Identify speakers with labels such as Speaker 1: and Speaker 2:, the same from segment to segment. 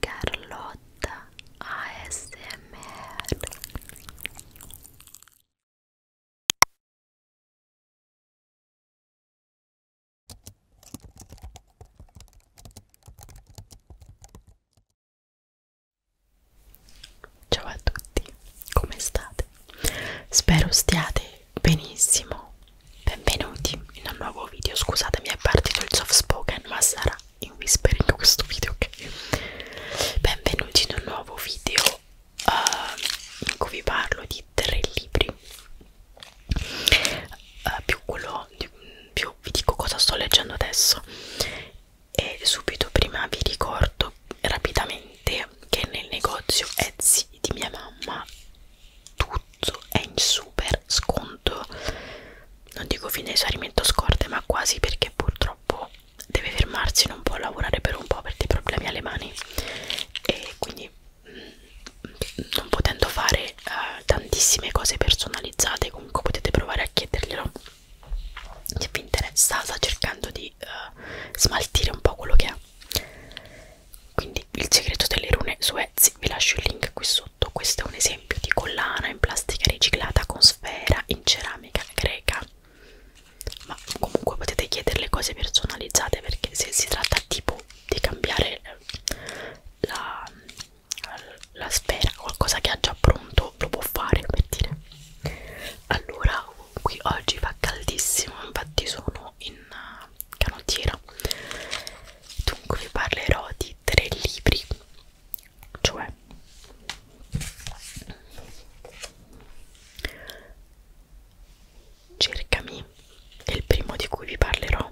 Speaker 1: Carlotta ASMR Ciao a tutti, come state? Spero stiate benissimo Benvenuti in un nuovo video, scusate mi è partito il soft spoken ma sarà in whispering questo video ok? Benvenuti in un nuovo video uh, in cui vi parlo di tre libri uh, più quello, più vi dico cosa sto leggendo adesso e subito prima vi ricordo rapidamente che nel negozio Etsy di mia mamma tutto è in super sconto non dico fine esaurimento scorte ma quasi perché purtroppo deve fermarsi non può lavorare per un po' per dei problemi alle mani e quindi mm, non potendo fare uh, tantissime cose personalizzate comunque potete provare a chiederglielo se vi interessa sta cercando di uh, smaltire un po' quello che ha quindi il segreto delle rune su Etsy vi lascio il link qui sotto sotto questo è un esempio di collana in plastica riciclata con sfera in ceramica greca ma comunque potete chiederle cose personalizzate perché se si tratta tipo di cambiare eh, la, la sfera qualcosa che ha già pronto lo può fare per dire allora qui oggi fa caldissimo infatti sono in eh, canottiera Dunque vi parlerò di tre libri, cioè Cercami, è il primo di cui vi parlerò,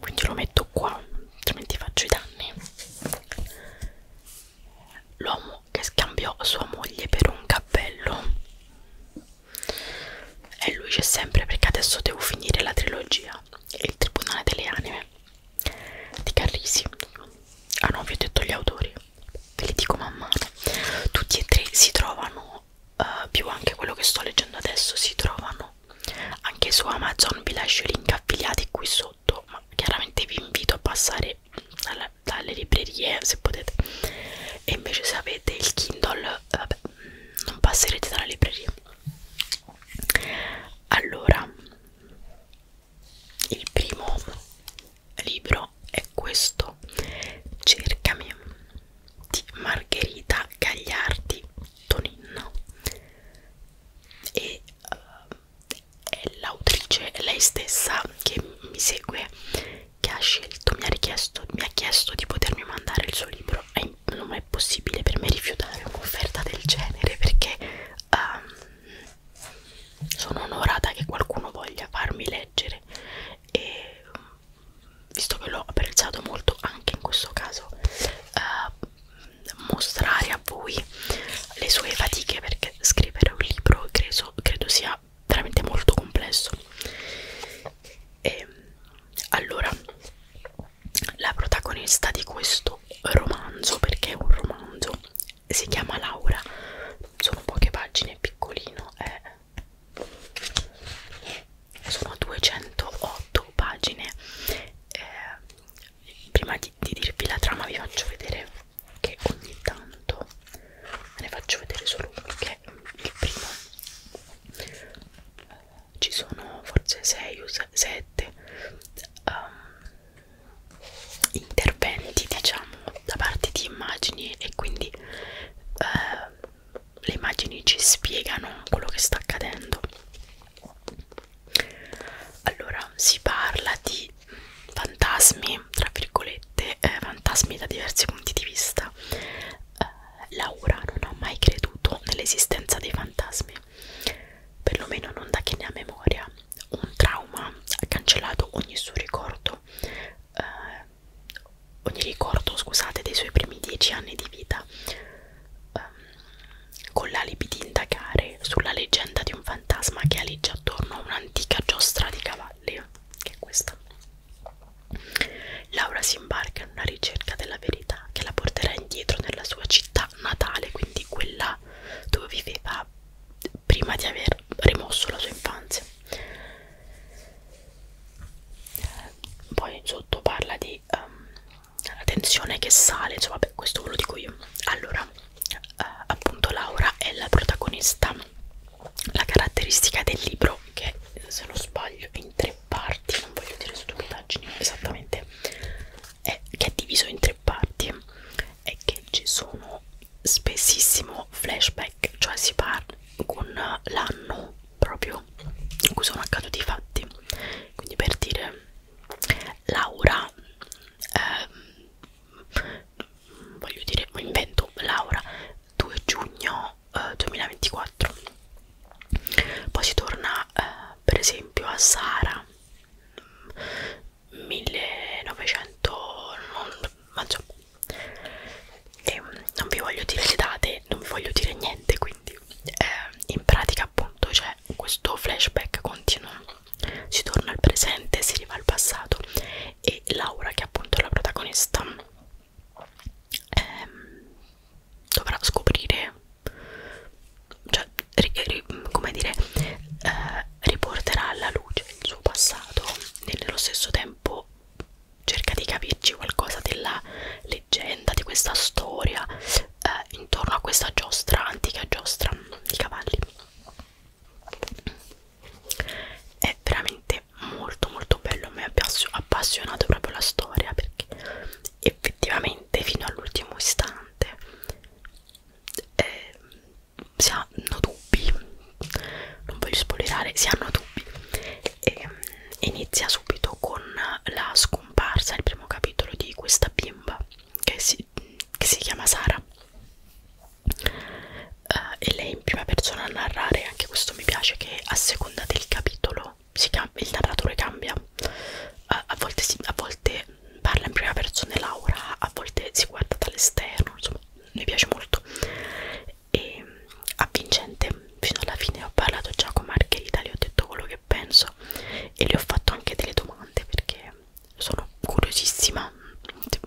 Speaker 1: quindi lo metto qua, altrimenti faccio i danni. L'uomo che scambiò sua moglie per un cappello e lui c'è sempre perché adesso devo finire la trilogia Il Tribunale delle Anime di Carrisi. Ah no, vi ho detto gli autori, ve li dico man mano. Tutti e tre si trovano, uh, più anche quello che sto leggendo adesso, si trovano anche su Amazon. Vi lascio i link affiliati qui sotto, ma chiaramente vi invito a passare dalle, dalle librerie se potete. E invece se avete il Kindle, eh, vabbè, non passerete dalla libreria allora il primo libro è questo cercami di Margherita Gagliardi Toninno e uh, è l'autrice lei stessa che mi segue che ha scelto, mi ha richiesto, mi ha chiesto di potermi mandare il suo libro. E non è possibile per me rifiutare un'offerta del genere perché um, sono onorata che qualcuno voglia farmi leggere e visto che l'ho apprezzato molto anche in questo caso uh, mostrare a voi le sue fatiche perché scrivere un libro credo, credo sia era veramente molto complesso e ehm, allora la protagonista di questo romanzo perché è un romanzo si chiama Laura sono poche pagine piccolino è sono 208 pagine eh, prima di, di dirvi la trama vi faccio vedere che ogni tanto ne faccio vedere solo perché il primo ci sono forse 6 o 7 um, interventi diciamo da parte di immagini e quindi uh, le immagini ci spiegano quello che sta accadendo allora si parla di fantasmi tra virgolette eh, fantasmi da diversi punti di vista eh, Laura non ha mai creduto nell'esistenza dei fantasmi, perlomeno non da che ne ha memoria. Un trauma ha cancellato ogni suo ricordo, eh, ogni ricordo, scusate, dei suoi primi dieci anni di vita, eh, con l'alibi di indagare sulla leggenda di un fantasma che aleggia attorno a un'antica giostra di cavalli, che è questa. Laura si imbarca in una ricerca della verità che la porterà indietro nella sua città natale, quindi quella dove viveva prima di aver rimosso la sua infanzia. Poi sotto parla di um, la tensione che sale, insomma, beh, questo ve lo dico io. Allora, uh, appunto, Laura è la protagonista la caratteristica del libro che se non sbaglio è in tre parti non voglio dire stupidaggini esattamente è che è diviso in tre parti e che ci sono spessissimo flashback cioè si parla con l'anno proprio in cui sono accaduti i fatti quindi per dire Laura ehm, voglio dire invento Laura 2 giugno eh, 2024 poi si torna eh, per esempio a Sara 1900 mm, non, ma insomma, e ehm, non vi voglio dire le date non vi voglio dire niente quindi eh, in pratica appunto c'è questo flashback continuo si torna al presente si arriva al passato e Laura che è appunto la protagonista ehm, dovrà scoprire, cioè, ri, ri, come dire, eh, riporterà alla luce il suo passato e nello stesso tempo cerca di capirci qualcosa della leggenda, di questa storia eh, intorno a questa giostra, antica giostra di cavalli è veramente molto molto bello mi ha appassionato proprio la storia perché effettivamente fino all'ultimo istante eh, si hanno dubbi non voglio spoilerare si hanno dubbi e, ehm, inizia subito con la scomparsa il primo capitolo di questa bimba che si, che si chiama Sara uh, e lei in prima persona a narrare, anche questo mi piace che a seconda del capitolo si il narratore cambia, uh, a, volte si, a volte parla in prima persona Laura, a volte si guarda dall'esterno, insomma mi piace molto e mm, avvincente fino alla fine ho parlato già con Margherita, le ho detto quello che penso e le ho fatto anche delle domande perché sono curiosissima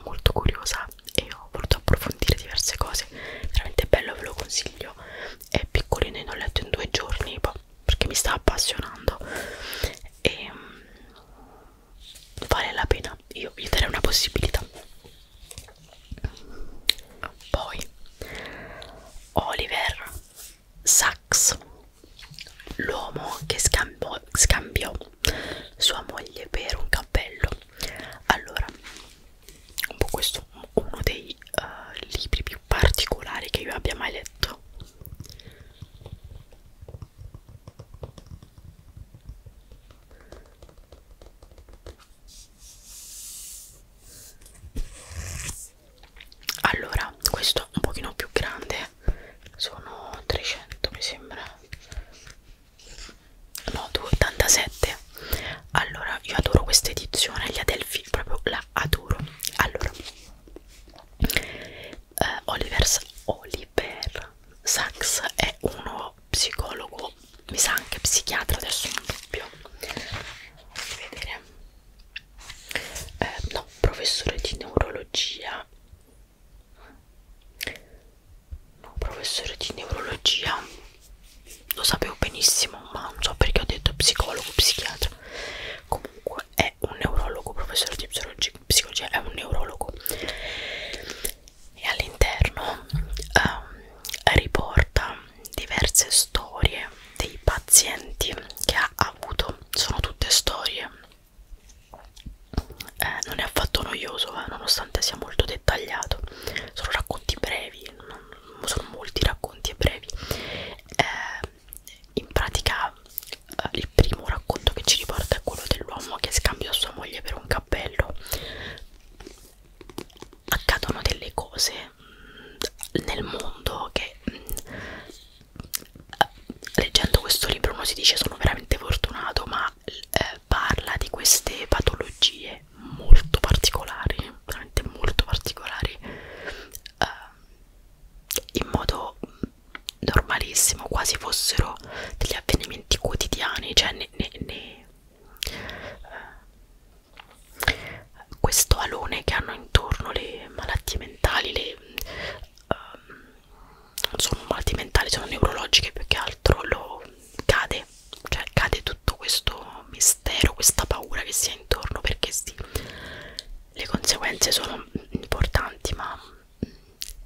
Speaker 1: molto curiosa e ho voluto approfondire diverse cose veramente bello ve lo consiglio è piccolino e l'ho letto in due giorni boh, perché mi sta appassionando e ehm, vale la pena io gli darei una possibilità poi Oliver Sacks l'uomo che scambiò, scambiò sua moglie per un cappello allora un po' questo è uno dei uh, libri più particolari che io abbia mai letto allora questo un pochino più grande sono 300 mi sembra no 287 allora io adoro questa edizione gli Adelphi proprio la adoro allora eh, Oliver, Oliver Sacks è uno psicologo mi sa anche psichiatra adesso non dubbio vedere eh, no professore di neurologia No, professore di neurologia, lo sapevo benissimo, ma non so perché ho detto psicologo, psichiatra. Comunque è un neurologo, professore di psicologia, è un neurologo. E all'interno um, riporta diverse storie dei pazienti che ha avuto. Sono tutte storie eh, non è affatto noioso eh, nonostante sia molto dettagliato sono racconti brevi non, sono molti racconti e brevi eh, in pratica eh, il primo racconto che ci riporta è quello dell'uomo che scambia sua moglie per un cappello accadono delle cose mh, mm, nel mondo che mh, mm, leggendo questo libro uno si dice sono veramente fortunato ma ma eh, parla di queste patologie molto particolari, veramente molto particolari, eh, in modo normalissimo, quasi fossero degli avvenimenti quotidiani, cioè ne, ne, ne, eh, questo alone che hanno intorno le malattie mentali, le, eh, sono malati mentali, sono neurologiche più che altro, lo cade, cioè cade tutto questo mistero, questa paura che si ha intorno perché sì, le conseguenze sono importanti ma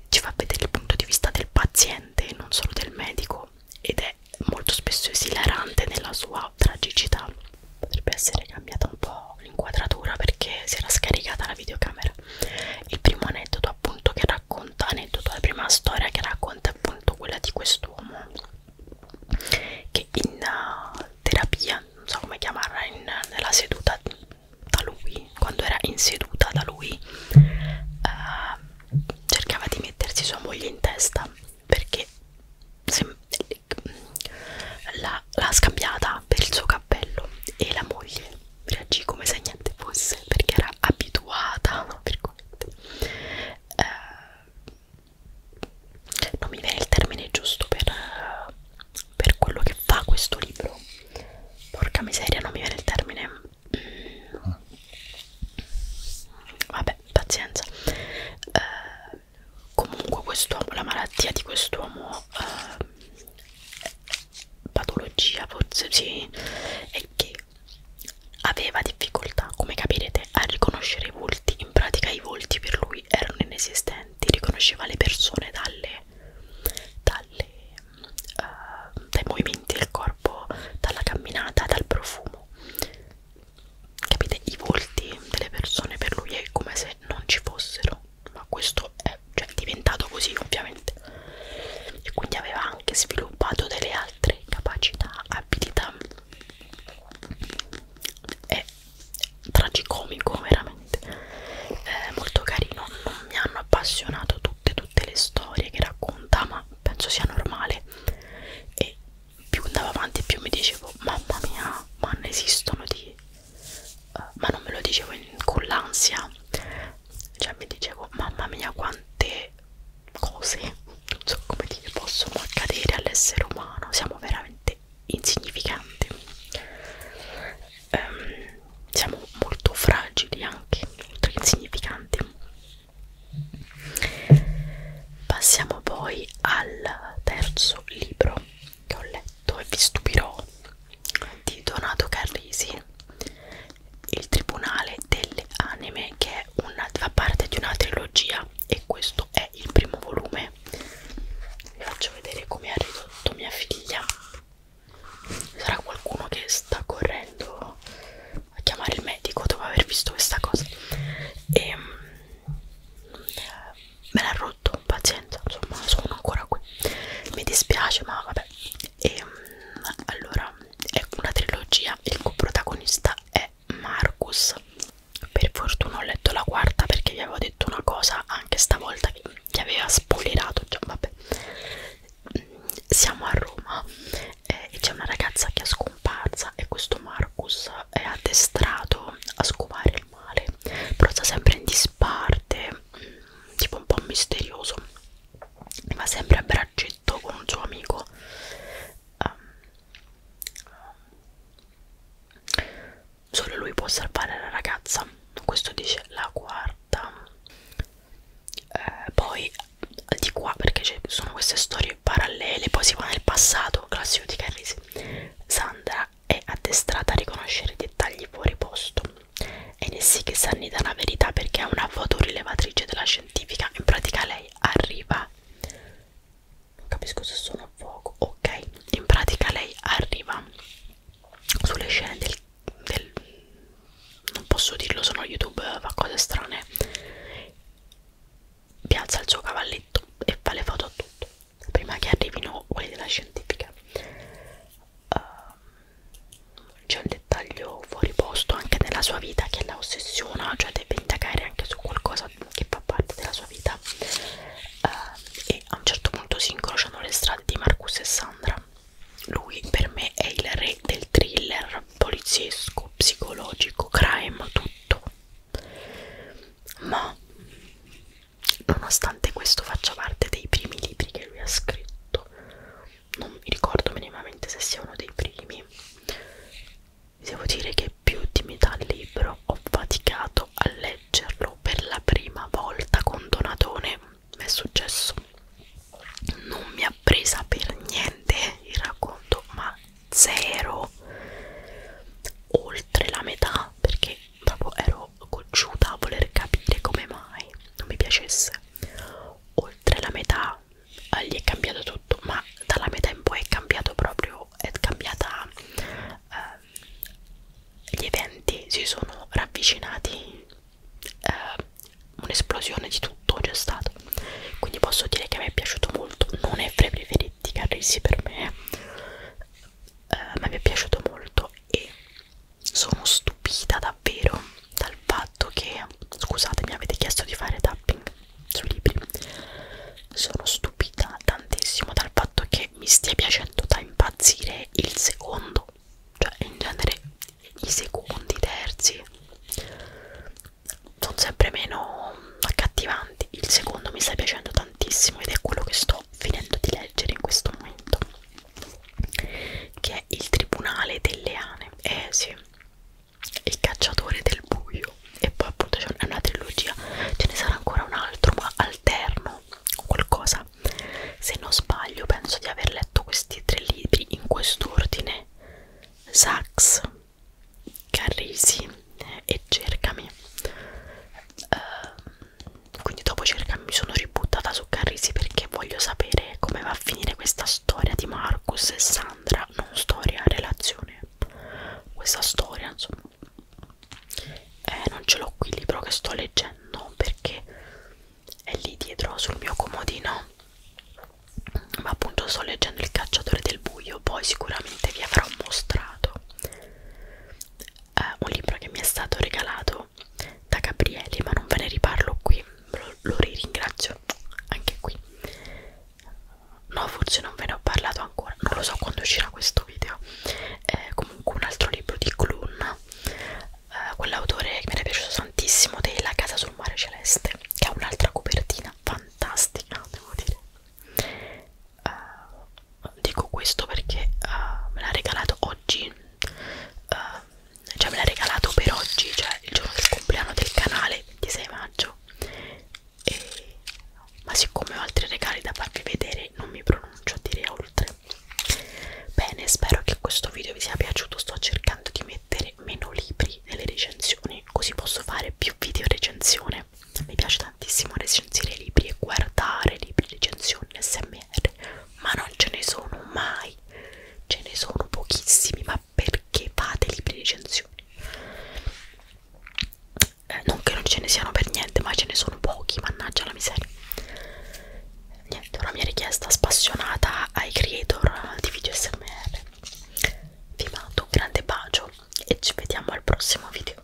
Speaker 1: ci fa vedere il punto di vista del paziente, non solo del medico ed è molto spesso esilarante nella sua tragicità potrebbe essere cambiata un po' l'inquadratura perché si era scaricata la videocamera due. Il primo aneddoto appunto che racconta, aneddoto la prima storia che racconta è appunto quella di quest'uomo che in uh, terapia, non so come chiamarla, in, nella seduta da lui, quando era in seduta da lui, uh, cercava di mettersi sua moglie in testa perché l'ha scambiata per il suo cappello e la moglie reagì come se niente fosse perché era abituata no, per eh, non mi viene il termine giusto per, per quello che fa questo libro porca miseria non mi viene il termine mm. vabbè pazienza eh, comunque quest'uomo la malattia di quest'uomo eh, patologia forse sì è che aveva difficoltà come capirete a riconoscere i volti in pratica i volti per lui erano inesistenti riconosceva le persone dalle, dalle, uh, dai movimenti del corpo dalla camminata dal profumo capite i volti delle persone per lui è come se non ci fossero ma questo è cioè, diventato così ovviamente e quindi aveva anche sviluppato delle altre capacità, abilità è tragicomico veramente è molto carino non mi hanno appassionato tutte tutte le storie che racconta ma penso sia normale e più andavo avanti più mi dicevo mamma mia ma ne esistono di uh, ma non me lo dicevo in, con l'ansia cioè mi dicevo mamma mia quante cose non so come dire possono accadere all'essere umano siamo veramente insignificanti um, siamo molto fragili anche molto insignificanti passiamo poi al terzo libro che ho letto e vi stupirò di Donato Carrisi il tribunale delle anime che è una, fa parte di una trilogia e questo è il primo volume vi faccio vedere come ha ridotto mia figlia sarà qualcuno che sta correndo a chiamare il medico dopo aver visto questa cosa e ehm, me l'ha tutto pazienza insomma sono ancora qui mi dispiace ma vabbè e ehm, allora è una trilogia il coprotagonista è Marcus per fortuna ho letto la quarta perché vi avevo detto una cosa anche stavolta che, che aveva spoilerato cioè, vabbè mm, siamo a Roma eh, e c'è una ragazza che è scomparsa e questo Marcus è addestrato a scovare il male però sta sempre in discussione disparte, mm, tipo un po' misterioso, va sempre a braccetto con un suo amico. Um, solo lui può salvare la ragazza, questo dice la quarta. Eh, poi di qua perché ci sono queste storie parallele, poi si va nel passato, classico di Carrisi. Sandra è addestrata a riconoscere i dettagli fuori posto e ne sì che si annida la verità perché è una fotorilevatrice della scientifica in pratica lei arriva non capisco se sono a fuoco ok in pratica lei arriva sulle scene del, del non posso dirlo sono youtube fa cose strane piazza il suo cavalletto e fa le foto a tutto prima che arrivino quelli della scientifica uh, c'è un dettaglio fuori posto anche nella sua vita che la ossessiona cioè deve indagare anche su qualcosa che fa parte della sua vita uh, e a un certo punto si incrociano le strade di Marcus e Sandra lui per me è il re del thriller poliziesco, psicologico, crime, tutto ma nonostante questo faccia parte dei primi libri che lui ha scritto non mi ricordo minimamente se sia uno dei primi devo dire che più di metà libro ho faticato a leggerlo per la prima volta con Donatone mi è successo non mi ha presa per niente il racconto ma zero oltre la metà perché dopo ero cocciuta a voler capire come mai non mi piacesse oltre la metà eh, gli è cambiato tutto ma dalla metà in poi è cambiato proprio è cambiata eh, gli eventi si sono ravvicinati eh, un'esplosione di tutto c'è stato quindi posso dire che mi è piaciuto molto non è fra i preferiti Carrisi per me eh, ma mi è piaciuto molto e sono stupita davvero dal fatto che scusate mi avete chiesto di fare tapping sui libri sono stupita tantissimo dal fatto che mi stia piacendo da impazzire il secondo cioè in genere i secondi, i terzi sono sempre meno accattivanti il secondo mi sta piacendo tantissimo ed è quello che sto finendo di leggere in questo momento che è il tribunale delle ane eh sì il cacciatore del buio e poi appunto c'è una trilogia ce ne sarà ancora un altro ma alterno qualcosa se non sbaglio penso di aver letto questi tre libri in quest'ordine Sax Carrisi e Cercami uh, quindi dopo Cercami mi sono ributtata su Carrisi perché voglio sapere come va a finire questa storia di Marcus e Sandra non storia, relazione questa storia insomma eh, non ce l'ho qui il libro che sto leggendo perché è lì dietro sul mio comodino ma appunto sto leggendo Il cacciatore del buio poi sicuramente vi avrò mostrato eh, un libro che mi è stato regalato da Gabriele, ma non ve ne riparlo qui, lo, lo ringrazio anche qui. No, forse non ve ne ho parlato ancora, non lo so quando uscirà questo video. Eh, comunque un altro libro di Clun, eh, quell'autore che mi era piaciuto tantissimo della Casa sul Mare Celeste, che ha un'altra copertina fantastica, devo dire uh, dico questo perché uh, me l'ha regalato oggi uh, cioè me l'ha regalato per oggi cioè il giorno del compleanno del canale 26 maggio e, ma siccome ho altri regali da farvi vedere non mi pronuncio a dire oltre bene spero che questo video vi sia piaciuto sto cercando di mettere meno libri nelle recensioni così posso fare più video recensione lettore. Mi piace tantissimo recensire libri e guardare libri, recensioni, smr, ma non ce ne sono mai, ce ne sono pochissimi, ma perché fate libri recensioni? Eh, non che non ce ne siano per niente, ma ce ne sono pochi, mannaggia la miseria. Niente, una mia richiesta spassionata ai creator di video smr. Vi mando un grande bacio e ci vediamo al prossimo video.